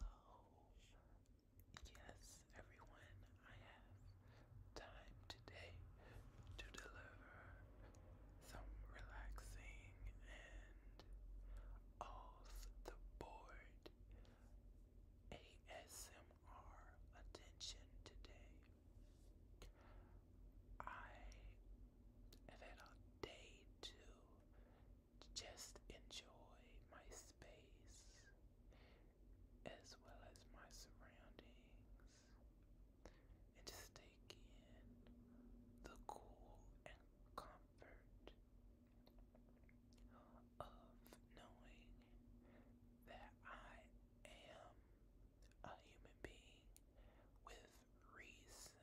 Hello. Yes, everyone, I have time today to deliver some relaxing and off the board ASMR attention today. I have had a day too just enjoy my space as well as my surroundings and just take in the cool and comfort of knowing that I am a human being with reason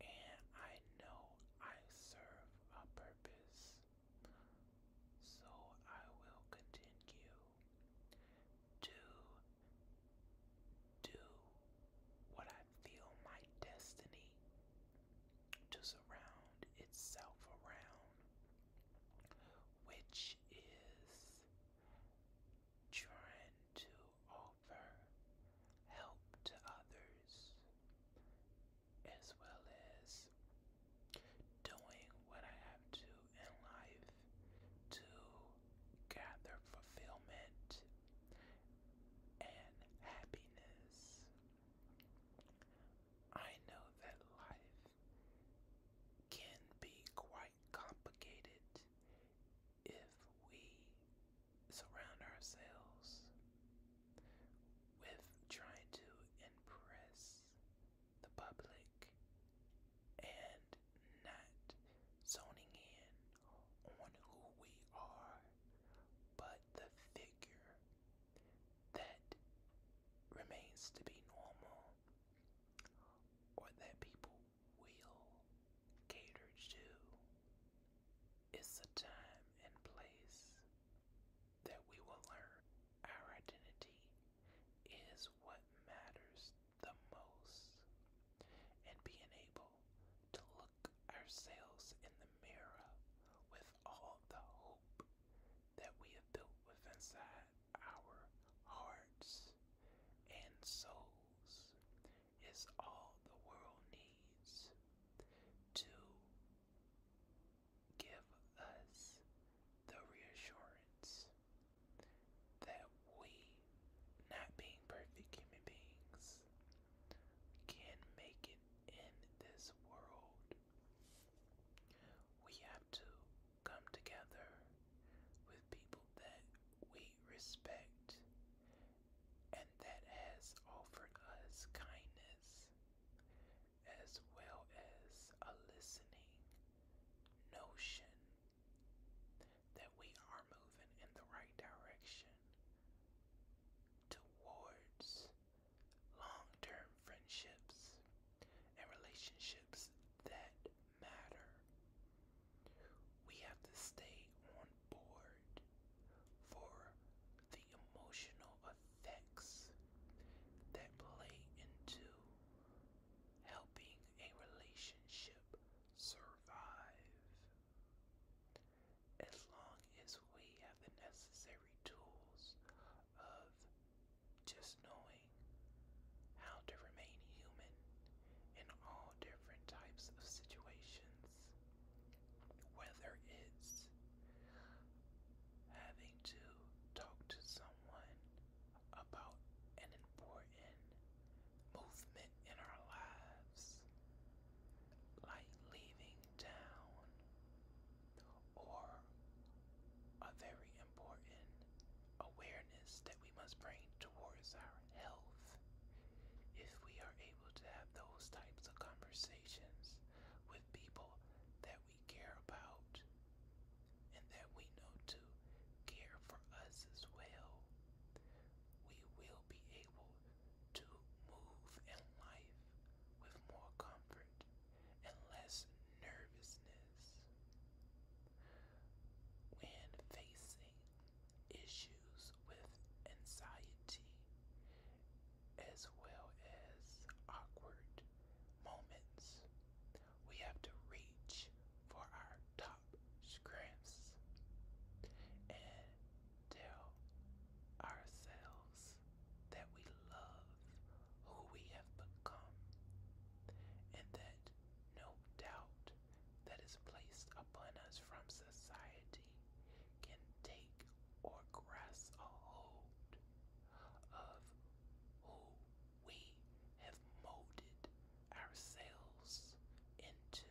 and I know I serve a purpose. So I will continue to do what I feel my destiny to surround itself around, which is trying to offer help to others, as well as doing what I have to in life to gather fulfillment and happiness. I know that life can be quite complicated if we surround ourselves with trying to impress the public and not zoning in on who we are, but the figure that remains to be normal or that people we will cater to. It's the time and place that we will learn our identity is what matters the most. And being able to look ourselves in the mirror with all the hope that we have built within inside our hearts and souls is all the world needs to give us the reassurance that we, not being perfect human beings, can make it in this world. We have to come together with people that we respect and that has offered us kindness as well as a listening notion that we are moving in the right direction towards long term friendships and relationships that matter. We have to stay on board for the emotional effects that play into helping a relationship survive. As long as we have the necessary tools of just knowing how to remain human in all different types of situations, whether it's having to talk to someone about an important movement in our lives, like leaving town or a very important awareness that we must bring towards our health. If we are able to have those types of conversations with people that we care about and that we know to care for us as well, we will be able to move in life with more comfort and less nervousness. When facing issues with anxiety as well as awkward moments, we have to reach for our top strengths and tell ourselves that we love who we have become and that no doubt that is placed upon us from society can take or grasp a hold of who we have molded ourselves into.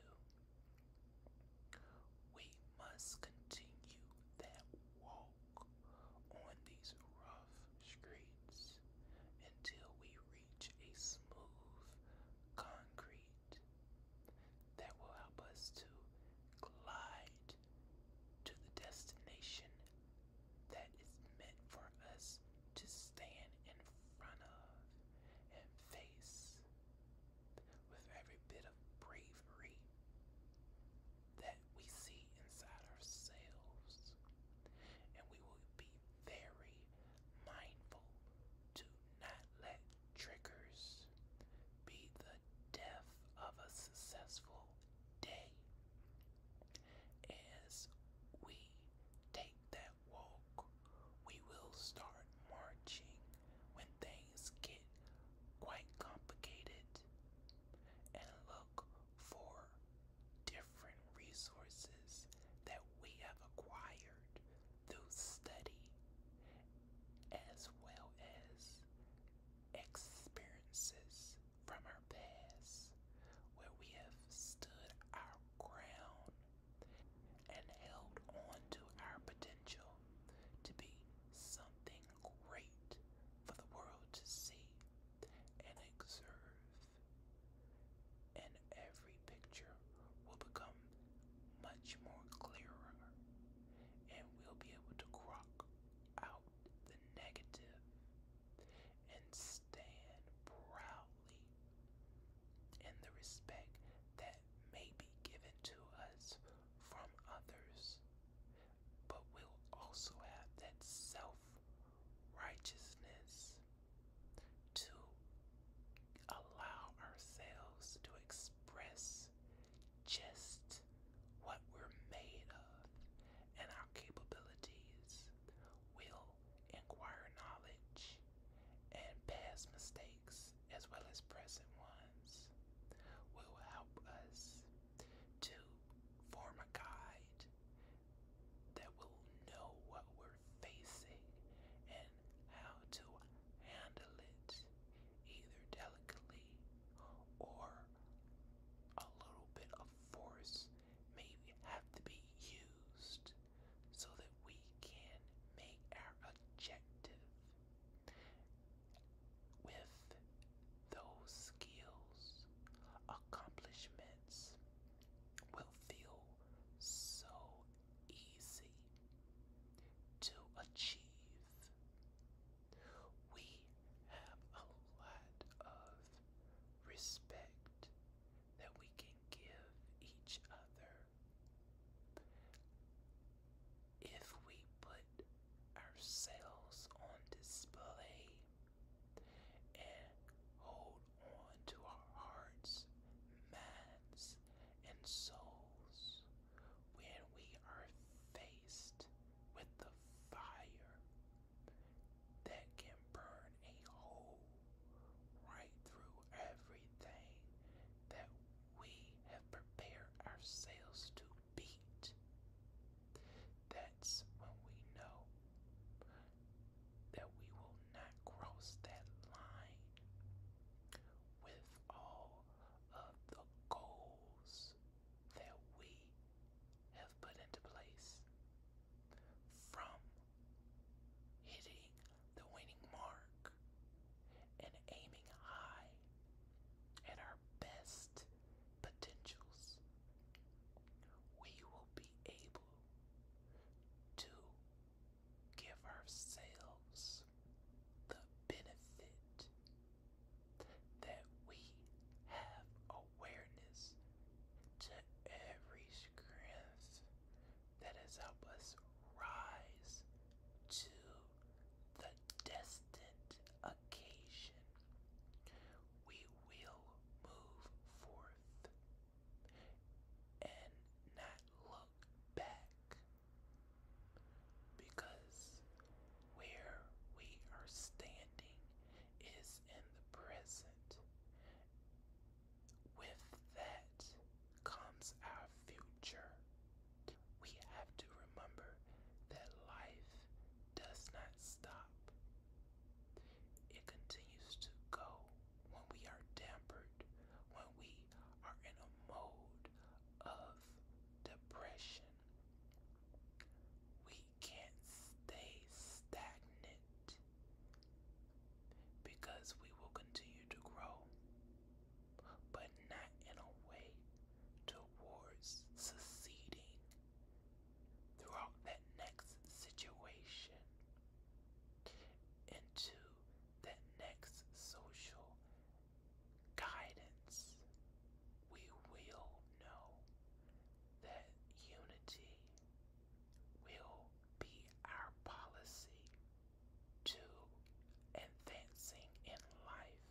We must continue that walk on these rocks streets until we reach a smooth concrete that will help us to glide to the destination that is meant for us to stand in front of and face with every bit of bravery that we see inside ourselves. And we will be very mindful to not let triggers be the death of a successful day as we take that walk we will start marching when things get quite complicated and look for different resources that we have acquired through study as well as experiences from our past where we have stood our ground and held on to our potential to be something great for the world to see and observe, and every picture will become much more clearer, and we'll be able to crock out the negative and stand proudly in the respect that may be given to us from others, but we'll also have that self righteousness to allow ourselves to express just what we're made of and our capabilities, will, acquire knowledge, and past mistakes as well as present ones will help us to form a guide that will know what we're facing and how to handle it either delicately or a little bit of force may have to be used so that we can make our objective with those skills, accomplishments will feel so easy to achieve. We have a lot of respect that we can give each other. If we put our sails on display and hold on to our hearts, minds, and souls when we are faced with the fire that can burn a hole right through everything that we have prepared our sails to beat that's when we know that we will not cross that line with all of the goals that we have put into place from hitting the winning mark and aiming high at our best potentials, we will be able to give ourselves the benefit that we have awareness to every strength that has helped us rise to the destined occasion. We will move forth and not look back because where we are standing is in the present. With that comes our future. We have to remember that life does not stop. It continues to go when we are dampered, when we are in a mode of depression. We can't stay stagnant because we will continue to grow but not in a way towards succeeding throughout that next situation into that next social guidance. We will know that unity will be our policy to advancing in life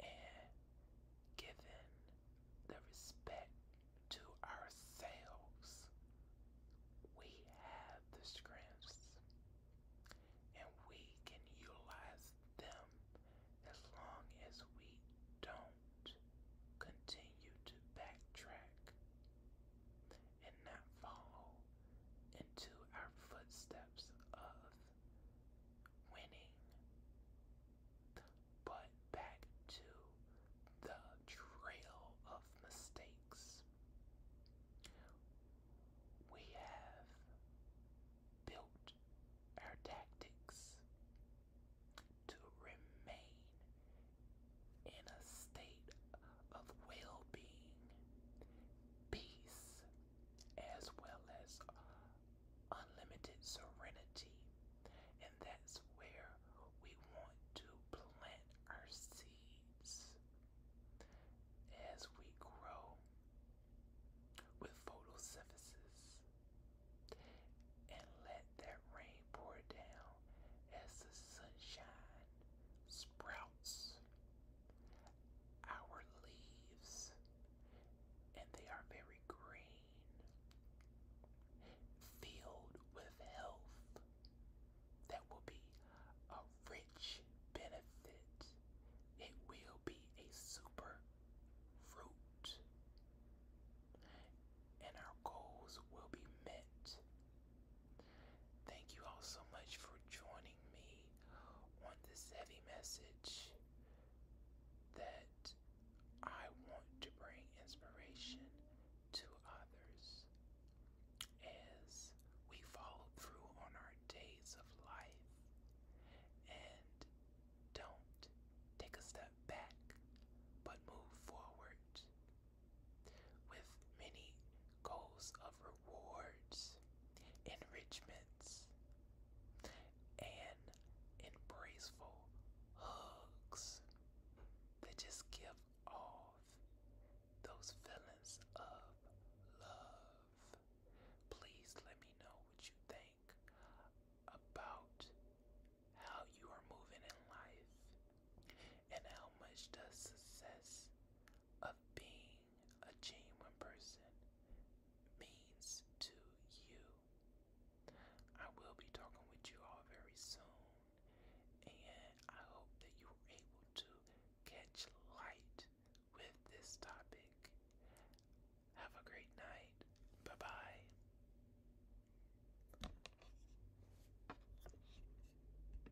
and giving the respect to ourselves, we have the strengths and we can utilize them as long as we don't continue to backtrack and not follow into our footsteps of winning. But back to the trail of mistakes. We have built our tactics to remain in a state of well being, peace, as well as uh, unlimited serenity. And that's where we want to plant our seeds as we grow with photosynthesis and let that rain pour down as the sunshine sprouts our leaves, and they are very green, filled with health. That will be a rich benefit. It will be a super fruit. And our goals will be met Thank you all so much for joining me on this heavy message that I want to bring inspiration to others as we follow through on our days of life and don't take a step back but move forward with many goals of rewards, enrichments, and embraceful hugs that just give off those feelings of love. Please let me know what you think about how you are moving in life and how much does success of being a genuine person means to you. I will be talking with you all very soon, and I hope that you were able to catch light with this topic. Have a great night. Bye bye.